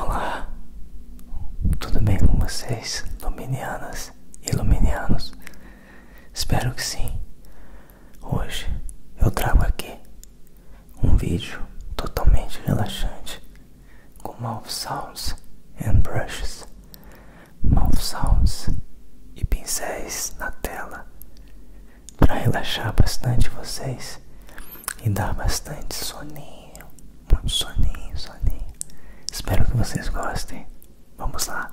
Olá, tudo bem com vocês, Luminianas e Luminianos? Espero que sim. Hoje eu trago aqui um vídeo totalmente relaxante com mouth sounds and brushes, mouth sounds e pincéis na tela para relaxar bastante vocês e dar bastante soninho muito soninho, soninho. Espero que vocês gostem. Vamos lá.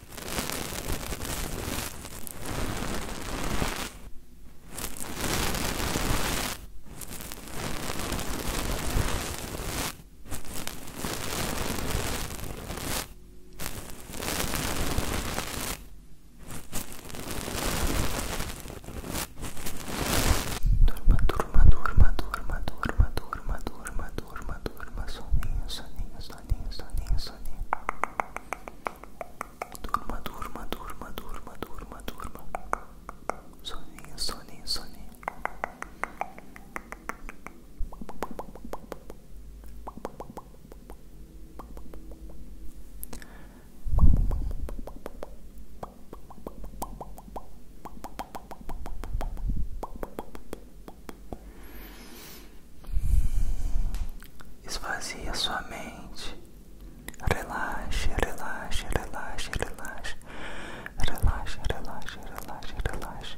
Durma, durma, durma, durma, durma, durma, durma, durma, durma, soninho, soninho, soninho, soninho, soninho. Durma durma durma durma durma durma Soninho, soninho, soninho Esvazie a sua mente. Relaxa, relaxa, relaxa, relaxe. Relaxa, relaxa, relaxa, relaxe.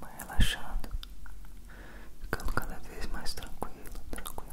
Vai relaxando, ficando cada vez mais tranquilo, tranquilo.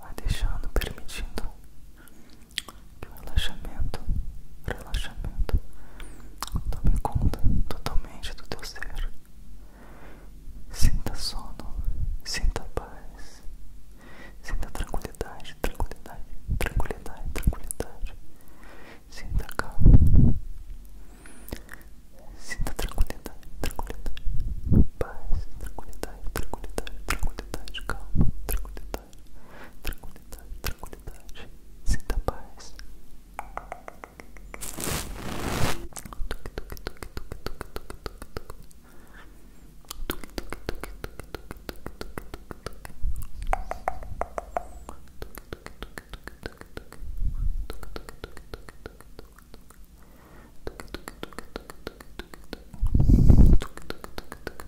Vai deixando, permitindo relaxamento, relaxamento tome conta totalmente do teu ser. Sinta sono, sinta paz, sinta tranquilidade, tranquilidade, tranquilidade, tranquilidade. Sinta calma, sinta tranquilidade, tranquilidade, paz, tranquilidade, tranquilidade, tranquilidade, calma, tranquilidade tranquilidade, tranquilidade, sinta paz. Tuque, tuque, tuque, tuque, tuque, tuque, tuque, tuque. Tuque, tuque, tuque, tuque, tuque, tuque, tuque, tuque. Tuque, tuque, tuque, tuque, tuque, tuque. Tuque, tuque, tuque, tuque, tuque, tuque, tuque. Tuque, tuque, tuque, tuque, tuque, tuque, tuque. Tuque, tuque, tuque, tuque,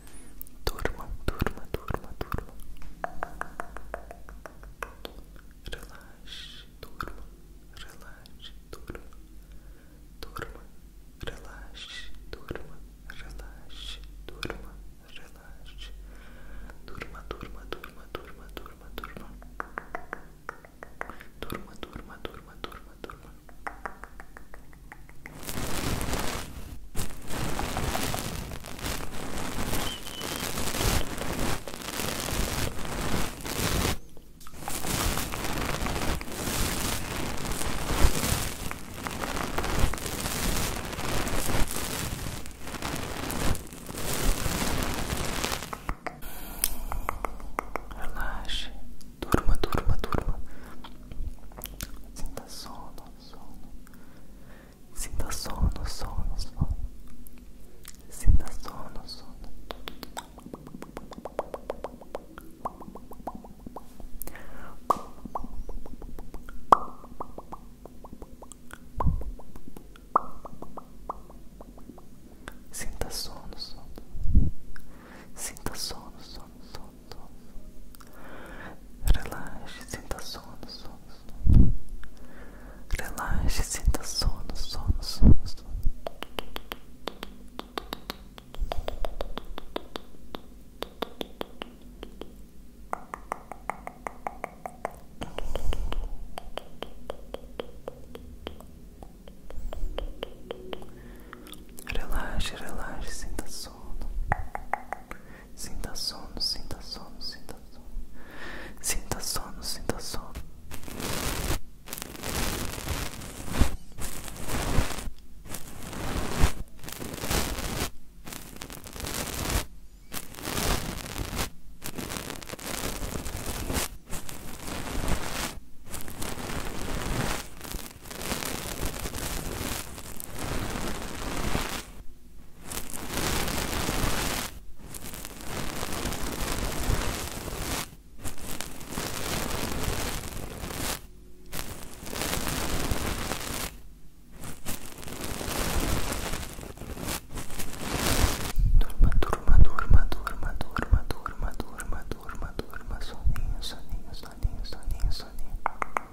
Durma, durma, durma, durma. Relaxe, durma, relaxe, durma. Durma, relaxe, durma, relaxe, durma, relaxe. Durma, durma, durma, durma, durma, durma. Durma, durma, durma, durma, durma. Relaxe, durma, durma, durma. Sinta sono sono. Sinta sono, sono, sono. Sinta sono, sono. Sinta sono, sono. Sinta sono, sono, sono. Relaxe, sinta sono, sono, sono. Relaxe, sinta sono, sono, sono, Relaxe, relaxe, sinta sono. Sinta sono, sinta sono, sinta sono. Sinta sono, sinta sono. Durma, durma, durma, durma, durma, durma, durma, durma, durma, durma, soninho, soninho, soninho, soninho, soninho.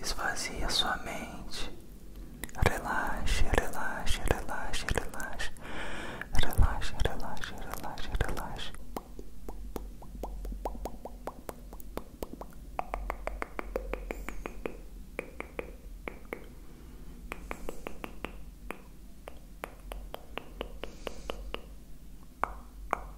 Esvazie sua mente. Relaxe, relaxe, relaxe, relaxe. Relaxe, relaxe, relaxe, relaxe. relaxa, relaxa, relaxa, relaxa, relaxa, relaxa, relaxa, relaxa, relaxa